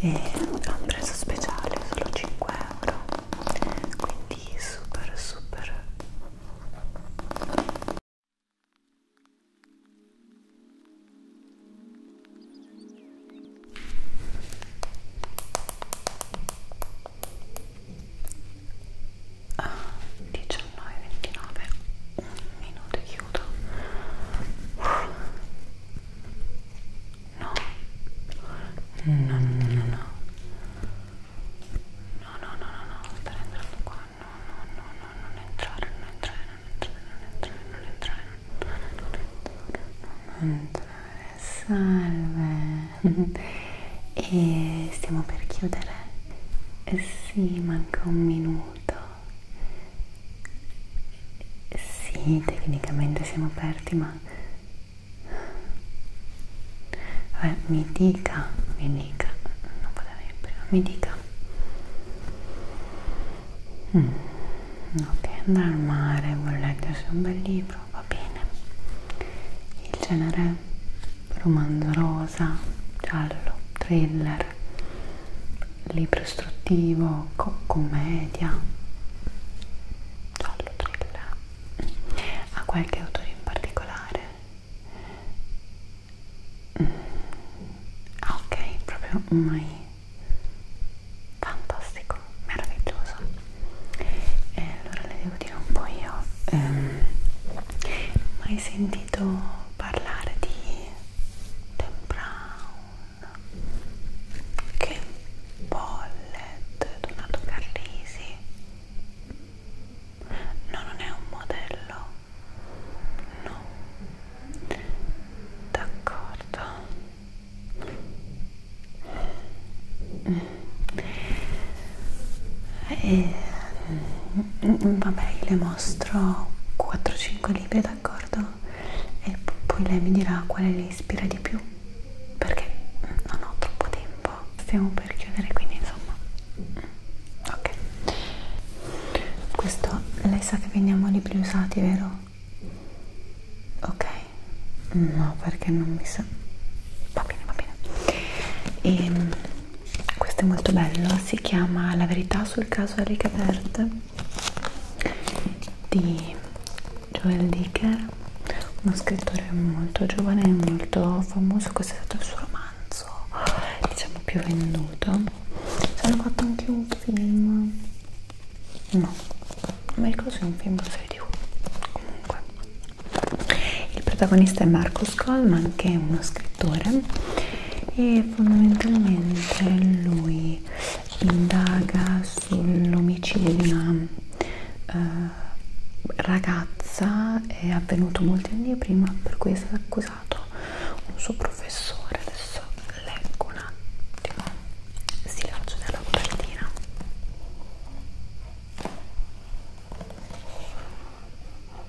e ha un prezzo speciale solo 5 euro quindi super super a ah, 19,29 un minuto chiudo no no no no no no no no no no stai entrando qua no no no no non entrare non entrare non entrare non entrare non entrare salve e stiamo per chiudere eh sì manca un minuto sì, tecnicamente siamo aperti, ma Vabbè, mi dica, mi dica, non potevo in prima, mi dica. Mm. Ok, andare al mare, vuole leggersi un bel libro, va bene. Il genere romanzo rosa, giallo, thriller libro istruttivo, commedia, giallo thriller, a qualche autore in particolare? Ah, ok, proprio mai fantastico, meraviglioso. E allora le devo dire un po' io, ehm, mai sentito sentito parlare di Dan Brown che Pollet, Donato Carrisi no non è un modello no d'accordo e eh, Mm, mm, vabbè le mostro 4-5 libri d'accordo e poi lei mi dirà quale le ispira di più perché non ho troppo tempo stiamo per chiudere quindi insomma mm, ok questo lei sa che vendiamo libri usati vero? ok no perché non mi sa va bene va bene e ehm, questo è molto bello si chiama La verità sul caso Erika Verde di Joel Dicker uno scrittore molto giovane e molto famoso questo è stato il suo romanzo diciamo più venduto hanno fatto anche un film no non mi ricordo se è un film o serie tv comunque il protagonista è Marco Marcus Coleman che è uno scrittore e fondamentalmente lui indaga sull'omicidio di una eh, ragazza è avvenuto molti anni prima per cui è stato accusato un suo professore adesso leggo un attimo si lancio dalla copertina l'elenco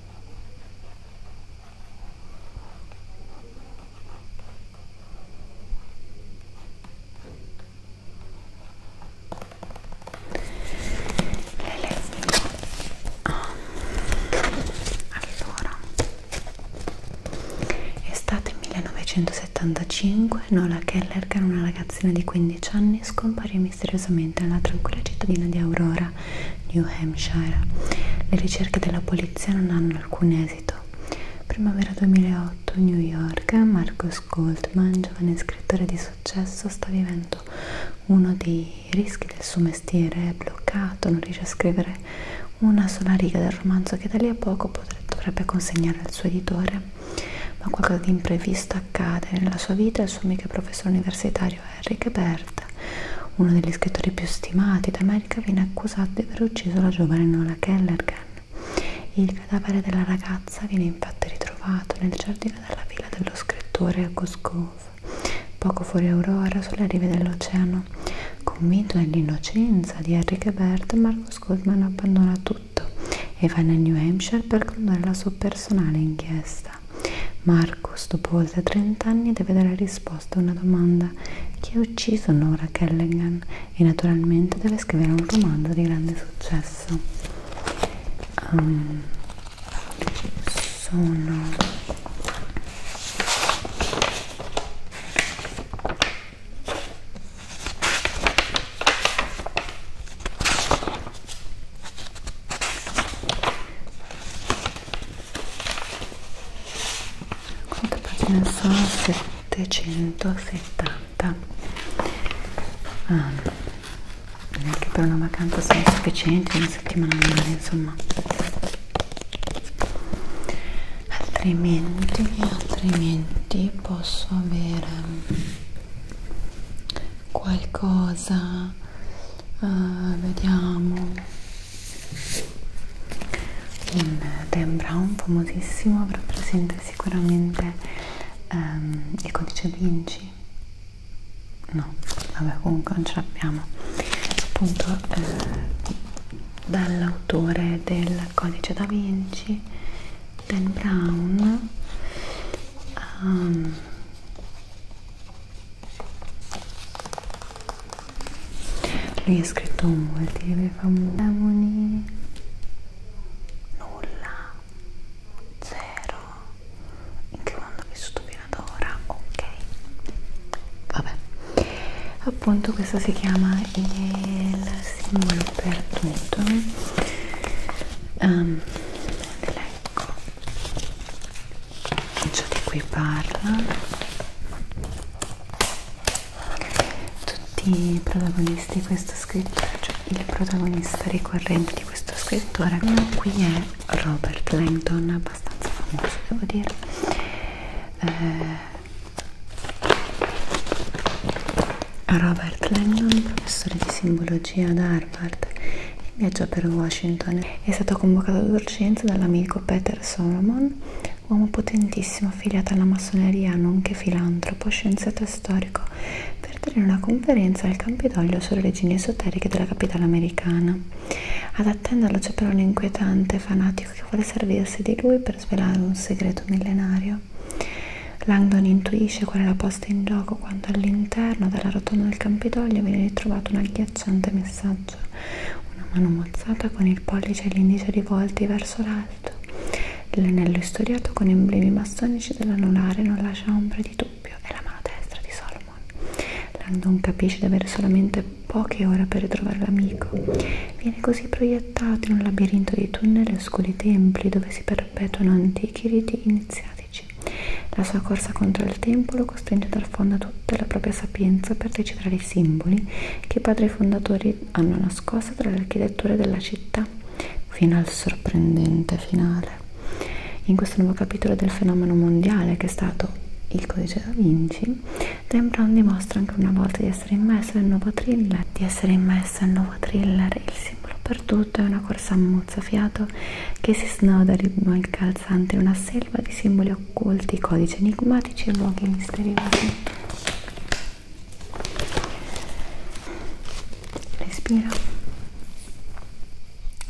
ah. allora estate 1975 Nola Keller che era una ragazzina di 15 anni scomparì misteriosamente alla tranquilla cittadina di Aurora, New Hampshire. Le ricerche della polizia non hanno alcun esito. Primavera 2008, New York, Marcus Goldman, giovane scrittore di successo, sta vivendo uno dei rischi del suo mestiere, è bloccato, non riesce a scrivere una sola riga del romanzo che da lì a poco potrebbe, dovrebbe consegnare al suo editore, ma qualcosa di imprevisto accade nella sua vita e il suo amico professore universitario Mario Henry Berta, uno degli scrittori più stimati d'America, viene accusato di aver ucciso la giovane Nola Kellergan. Il cadavere della ragazza viene infatti ritrovato nel giardino della villa dello scrittore a Goscov, poco fuori Aurora, sulle rive dell'oceano. Convinto dell'innocenza di Henry Berta, Marcus Goldman abbandona tutto e va nel New Hampshire per condurre la sua personale inchiesta risposta. Marco, dopo oltre 30 anni, deve dare risposta a una domanda. Chi ha ucciso Nora Kellegan? E naturalmente deve scrivere un romanzo di grande successo. Um, sono questa pagina sono 770 ah, neanche per una vacanza sono sufficienti una settimana andare insomma altrimenti altrimenti posso avere qualcosa uh, vediamo un Dan Brown famosissimo rappresenta sicuramente um, il codice Vinci no vabbè comunque non ce l'abbiamo appunto eh, dall'autore del codice da Vinci Dan Brown um, lui ha scritto molti libri famosi nulla zero in che mondo ho vissuto fino ad ora ok vabbè appunto questo si chiama il simbolo dappertutto um, ehm, leggo ecco. ciò di cui parla tutti i protagonisti di questo scrittore cioè il protagonista ricorrente di questo scrittore qui è Robert Langdon abbastanza famoso devo dire eh, Robert Langdon, professore di simbologia ad Harvard, in viaggio per Washington, è stato convocato ad urgenza dall'amico Peter Solomon, uomo potentissimo affiliato alla massoneria, nonché filantropo, scienziato e storico, per tenere una conferenza al Campidoglio sulle origini esoteriche della capitale americana. Ad attenderlo c'è però un inquietante fanatico che vuole servirsi di lui per svelare un segreto millenario. Langdon intuisce qual è la posta in gioco quando all'interno della rotonda del Campidoglio viene ritrovato un agghiacciante messaggio. Una mano mozzata con il pollice e l'indice rivolti verso l'alto. L'anello istoriato con emblemi massonici dell'anulare non lascia ombra di dubbio. È la mano destra di Solomon. Langdon capisce di avere solamente poche ore per ritrovare l'amico Viene così proiettato in un labirinto di tunnel e oscuri templi dove si perpetuano antichi riti iniziatici. La sua corsa contro il tempo lo costringe a dar fondo a tutta la propria sapienza per decifrare i simboli che i padri fondatori hanno nascosto tra le architetture della città, fino al sorprendente finale. In questo nuovo capitolo del fenomeno mondiale che è stato il codice da Vinci, Dan Brown dimostra ancora una volta di essere immesso nel nuovo thriller, di essere immesso il nuovo thriller Il simbolo perduto è una corsa a mozzafiato che si snoda ritmo il calzante in una selva di simboli occulti, codici enigmatici e luoghi misteriosi. Respiro.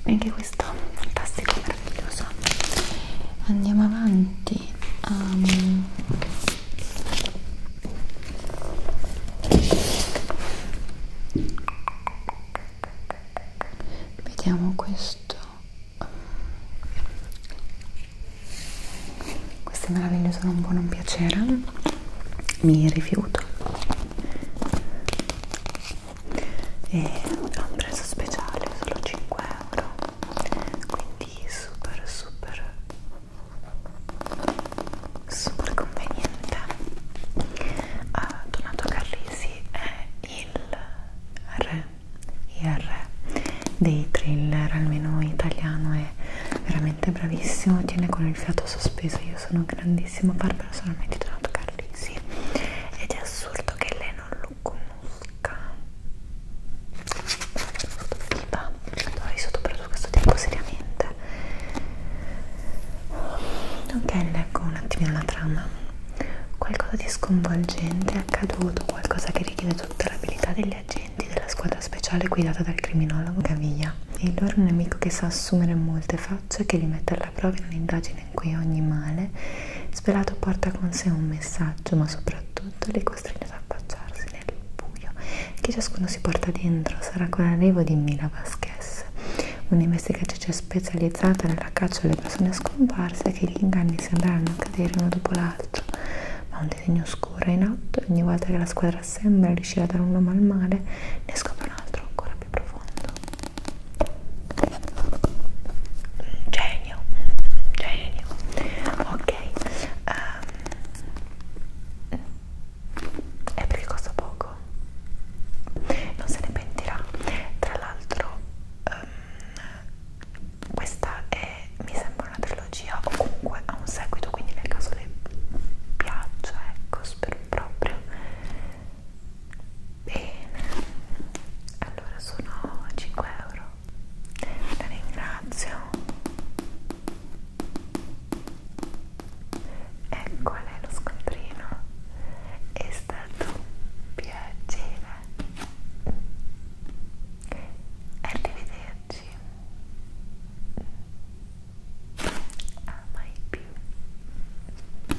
E anche questo fantastico, meraviglioso. Andiamo avanti. Um, vediamo questo queste meraviglie sono un po' non piacere mi rifiuto e ha un prezzo speciale solo 5 euro quindi super super super conveniente uh, Donato Carlisi è il re, il re dei thriller almeno italiano è veramente bravissimo tiene con il fiato sospeso io sono grandissimo fan personalmente di Donato Carlisi ed è assurdo che lei non lo conosca bocca viva allora sottoprodotto questo tempo seriamente ok leggo un attimino la trama qualcosa di sconvolgente è accaduto qualcosa che richiede tutta l'abilità degli agenti della squadra speciale guidata dal criminologo Gavia il loro nemico che sa assumere molte facce che li mette alla prova in un'indagine in cui ogni male spelato porta con sé un messaggio ma soprattutto le costretto ad affacciarsi nel buio che ciascuno si porta dentro sarà con l'arrivo di Mila Vasquez, un'investigatrice specializzata nella caccia alle persone scomparse che gli inganni sembreranno cadere uno dopo l'altro, ma un disegno oscuro è in atto e ogni volta che la squadra sembra riuscire a dare un nome al male ne scopre un altro ancora più profondo. Genio, genio. Ok, ok um, è perché costa poco non se ne pentirà tra l'altro um, questa è mi sembra una trilogia o comunque ha un seguito quindi nel caso le piaccia ecco spero proprio bene allora sono 5 euro la ringrazio ecco qual è lo scontrino è stato piacere arrivederci a ah, mai più